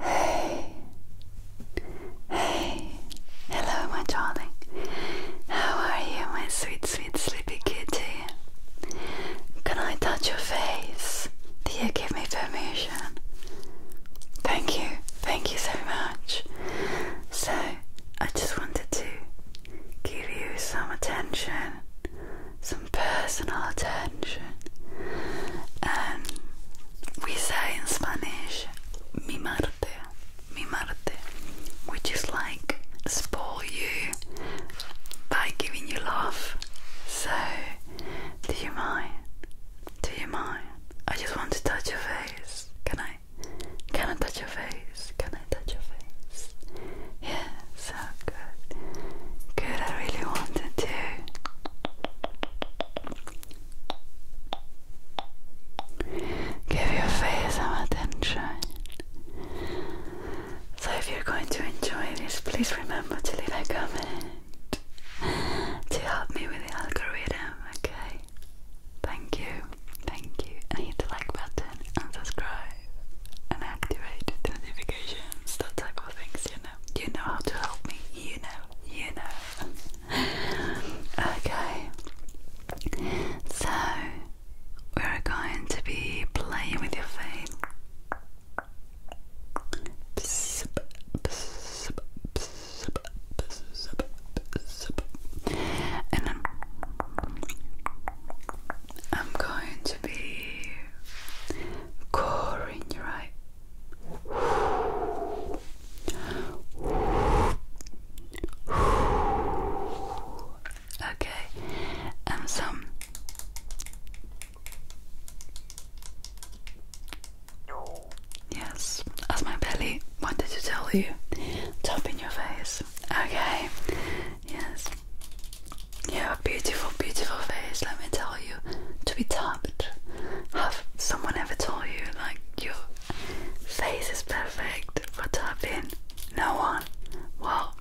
Hey, hey, hello, my darling. How are you, my sweet, sweet, sleepy kitty? Can I touch your face? Do you give me permission? Thank you, thank you so much. So, I just wanted to give you some attention, some personal attention. Um, we say in Spanish, "mi madre, mi madre," which is like spoil you by giving you love. So, do you mind? Do you mind? I just want to touch your face. Can I? Can I touch your face? Can I touch your face? Yeah, so good. Good, I really wanted to. Give your face some attention. So, if you're going to enjoy this, please remember to leave a comment to help me with the algorithm, okay? Thank you, thank you. hit the like button and subscribe and activate the notifications, that type you know how to help me. You know, you know. okay. So we're going to be playing with your face. And I'm going to be coring your eye Okay, and um, some. Yes, as my belly wanted to tell you, top in your face. Okay, yes, you have a beautiful, beautiful face, let me tell you. To be tapped. Have someone ever told you, like, your face is perfect for tapping? No one. Well,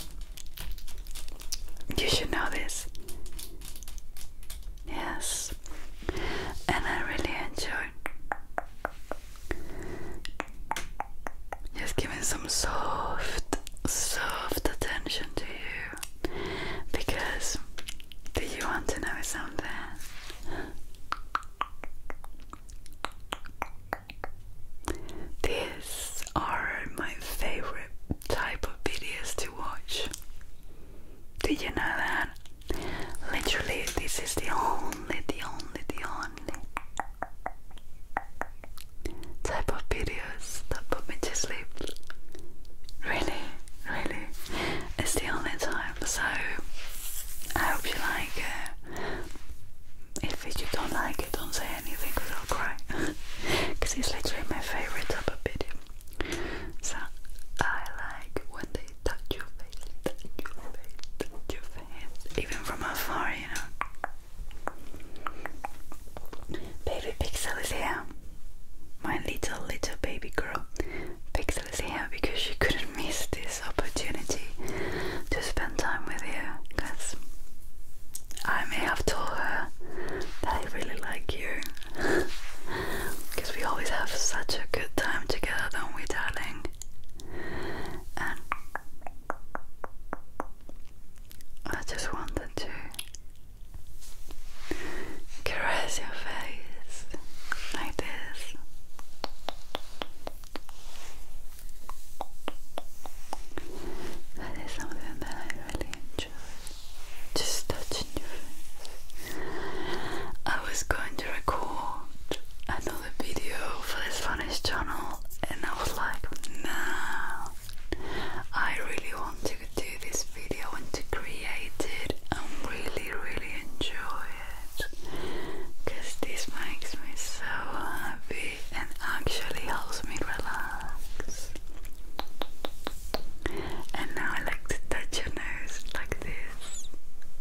you should know this. Yes. And I really enjoy just giving some soft, soft attention to you do because do you want to know something? These are my favorite type of videos to watch. Did you know that? Literally, this is the only, the only, the only type of video that put me to sleep. Really, really. It's the only time. So I hope you like it. If you don't like it, don't say anything because I'll cry. Because it's literally my favorite type of video. So I like when they touch your face, your face, your face, even from afar, you know. Baby Pixel is here my little little baby girl pixel's here because she couldn't miss this opportunity to spend time with you because I may have told her that I really like you because we always have such a good time together don't we darling and I just wanted to Caress your face like this. That is something that I really enjoy. Just touching your face. I was going to record another video for this Spanish channel and I was like, nah, I really want to do this video and to create it and really, really enjoy it because this makes me so happy and actually helps me relax. And now I like to touch your nose like this.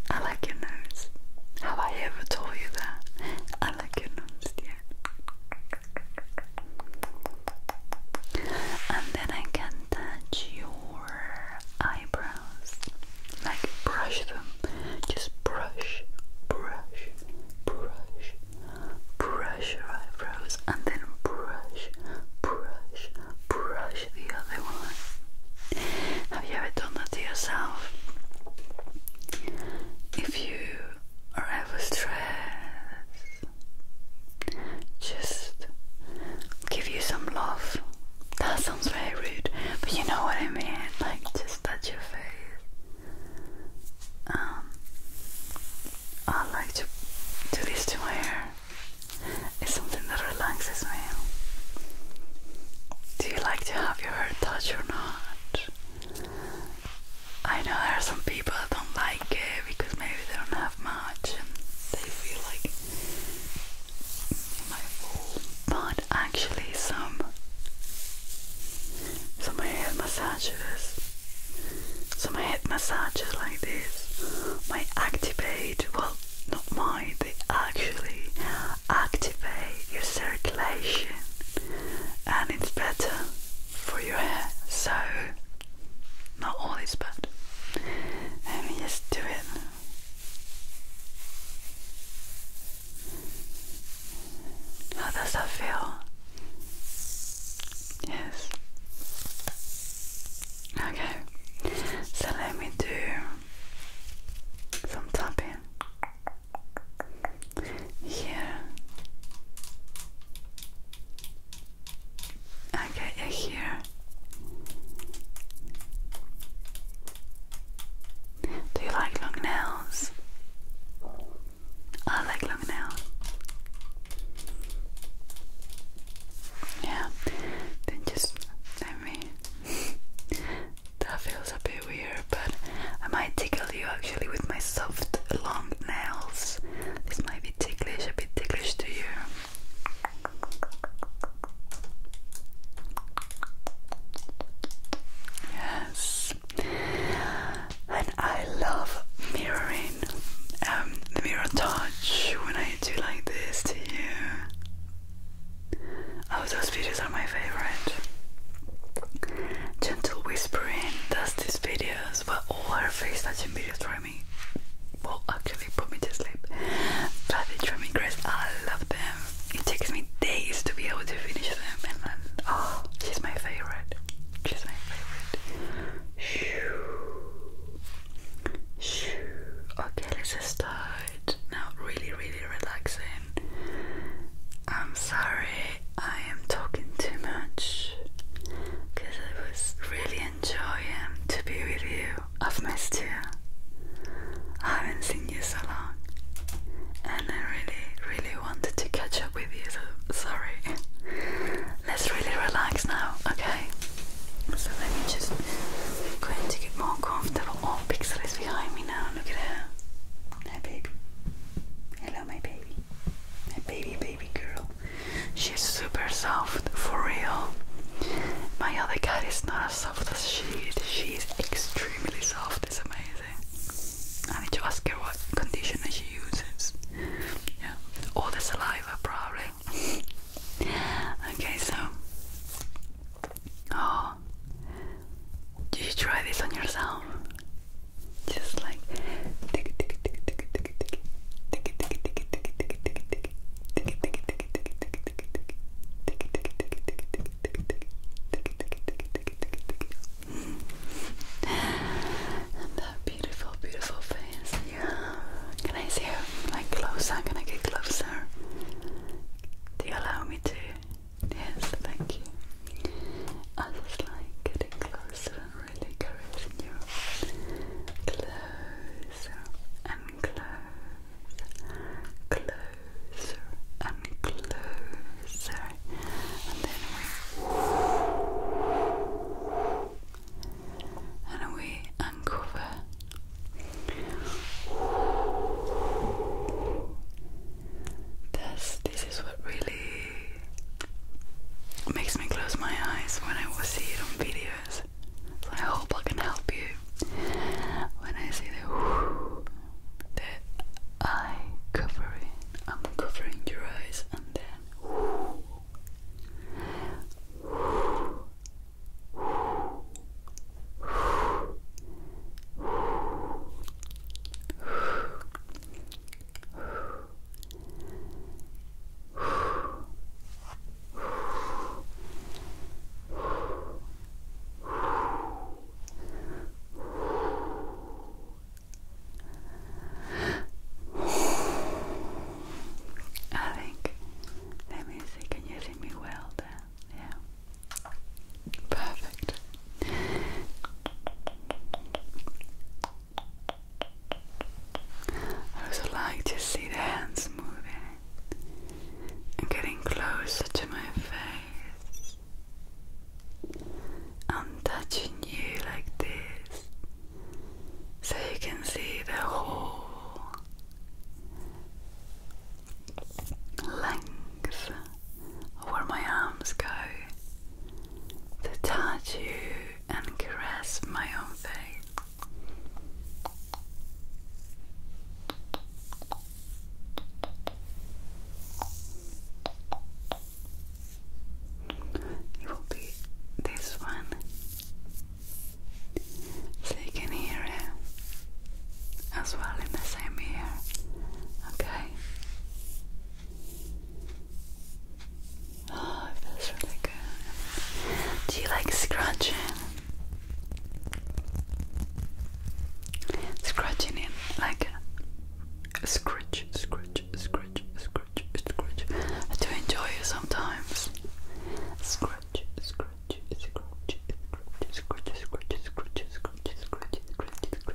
I like your nose. Have I ever told you that? I like your nose, yeah. And then I can touch your eyebrows, like brush them. Just brush, brush, brush, brush your eyebrows, and then brush, brush, brush the other one. Have you ever done that to yourself? If you are ever stressed just give you some love. That sounds very rude, but you know what I mean. Like, just touch your face. Um, I like to do this to my hair. It's something that relaxes me. Do you like to have your hair touched or not? I know there are some people that don't like it because maybe they don't have much and they feel like my fault. But actually, some some head massages, some head massages like this might activate. Well, not mine. They actually activate your circulation, and it's better for your hair. So. Not always, but um, let me just do it. How does that feel? Yes. Okay. So let me do some tapping here Okay, here. Do you like long nails? I like long nails. Yeah, then just let me. that feels a bit weird, but I might tickle you actually with my soft long nails. This might be ticklish, a bit ticklish to you. Yes. And I love mirroring um, the mirror touch when I do like this to you. Oh, those videos are my favorite. Gentle whispering does this video videos, well, all her face touching videos for me. Well, actually, put me to sleep. But the trimming crest, I love them. It takes me days to be able to finish them, and then, oh, she's my favorite. She's my favorite. Shoo. Shoo. Okay, let's just start. Now, really, really relaxing. I'm sorry I am talking too much because I was really enjoying to be with you. I've missed you. I haven't seen you so long, and I really, really wanted to catch up with you. So sorry. Let's really relax now, okay? So let me just going to get more comfortable. Oh, Pixel is behind me now. Look at her. Hi, baby. Hello, my baby. My baby, baby girl. She's super soft, for real. My other cat is not as soft as she She's extremely soft, it's amazing. I need to ask her what conditioner she uses. Yeah, all the saliva, probably. okay, so. Oh, did you try this on yourself? Just like tick tick tick tick tick tick tick tick tick tick tick tick tick tick and that beautiful, beautiful face. Yeah. Can I see her like closer? Can I get closer? Do you allow me to? Yes, thank you. I just like getting closer really encouraging you. Closer and closer, closer and closer, and then we and we uncover. This this is what really it makes me close my eyes when I see it on videos. So I hope I can help you when I see the eye covering. I'm covering your eyes and then I think let me see, can you me well there? Yeah. Perfect. I also like to see the hands moving and getting closer to my face. I'm touching you like this so you can see the whole length of where my arms go to touch you and caress my own face. It will be this one so you can hear it as well in the same ear. Okay. Oh, feels really good. Do you like scratching? Scratching it like scratch, scratch, scratch, scratch, scratch. I enjoy it sometimes. Scratch, scratch, scratch, scratch, scratch, scratch, scratch, scratch, scratch, scratch, scratch, scratch,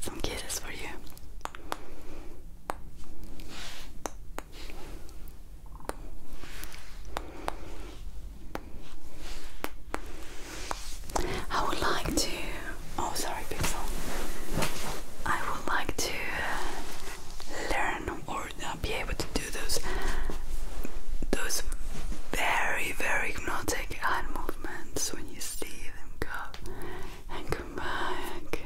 Some kisses for you. I would like to. Oh, sorry, Pixel. I would like to learn or uh, be able to do those, those very, very hypnotic animal when you see them go and come back.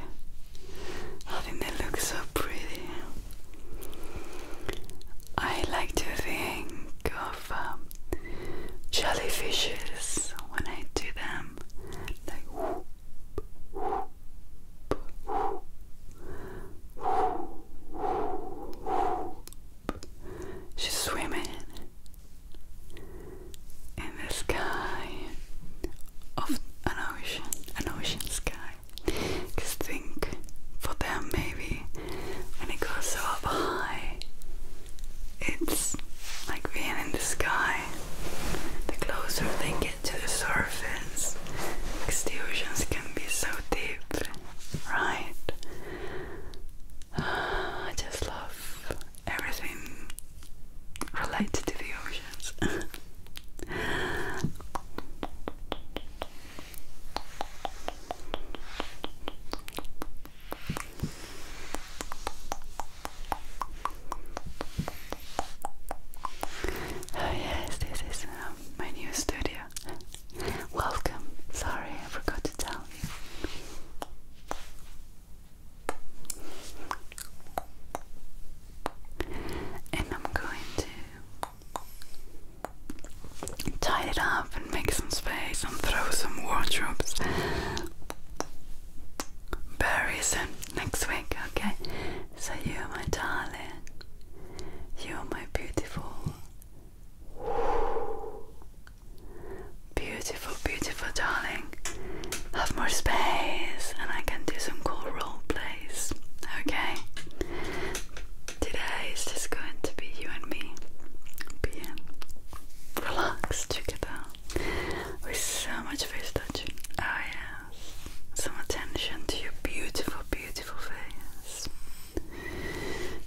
I think they look so pretty. I like to think of um, jellyfishes when I do them, like whoop, whoop, whoop, whoop, whoop. She's swimming in the sky of an ocean, an ocean sky. Cause think for them maybe when it goes so high, it's like being in the sky. The closer they get to the surface, because the oceans can be so deep, right? I just love everything related to the oceans. Oh yes, this is uh, my new studio. Welcome. Sorry, I forgot to tell and I'm going to tie it up and make some space and throw some wardrobes, very soon next week, okay? So, you, are my darling, you, are my beautiful, Beautiful, beautiful, darling. Have more space, and I can do some cool role plays. Okay? Today is just going to be you and me being relaxed together with so much face touching. Oh, yes. Some attention to your beautiful, beautiful face.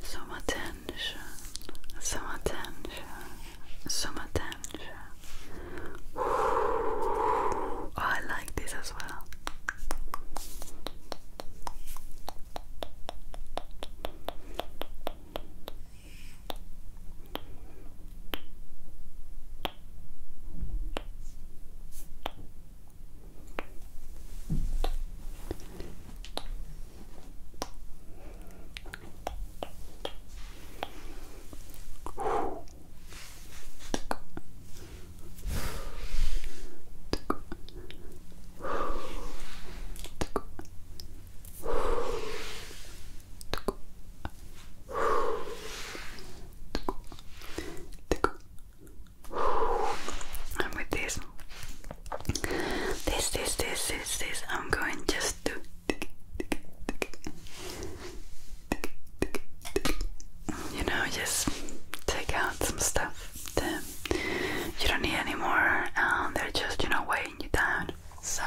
Some attention some attention, some attention. Oh, I like this as well. I'm with this, this, this, this, this, this. I'm going just to. You know, just take out some stuff that you don't need anymore, and they're just, you know, weighing you down. So.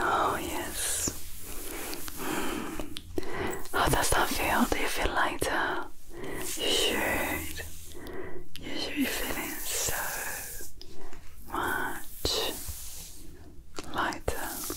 Oh, yes. How does that feel? Do you feel lighter? You should. You should be feeling so much lighter.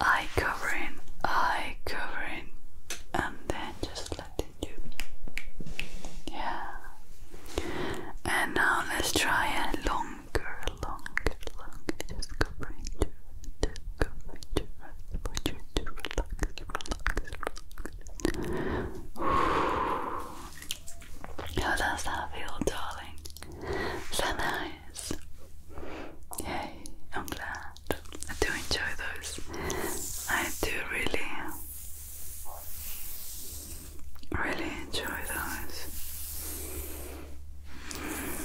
Eye covering, eye covering, and then just let it do. Yeah. And now let's try a longer, longer, longer. Just covering to, to covering to rest for you to relax, relax, relax. How does that feel, darling? So Yay, I'm glad. I do enjoy those. I do really, really enjoy those. Mm.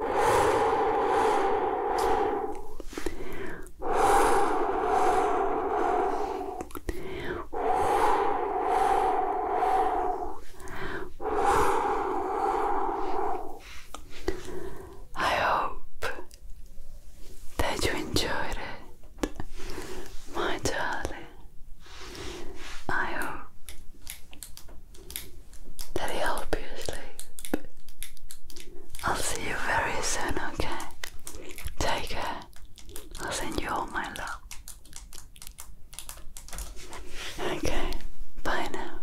I hope that you enjoyed it, my darling. I hope that will I'll see you very soon, okay? Take care. I'll send you all my love. Okay, bye now.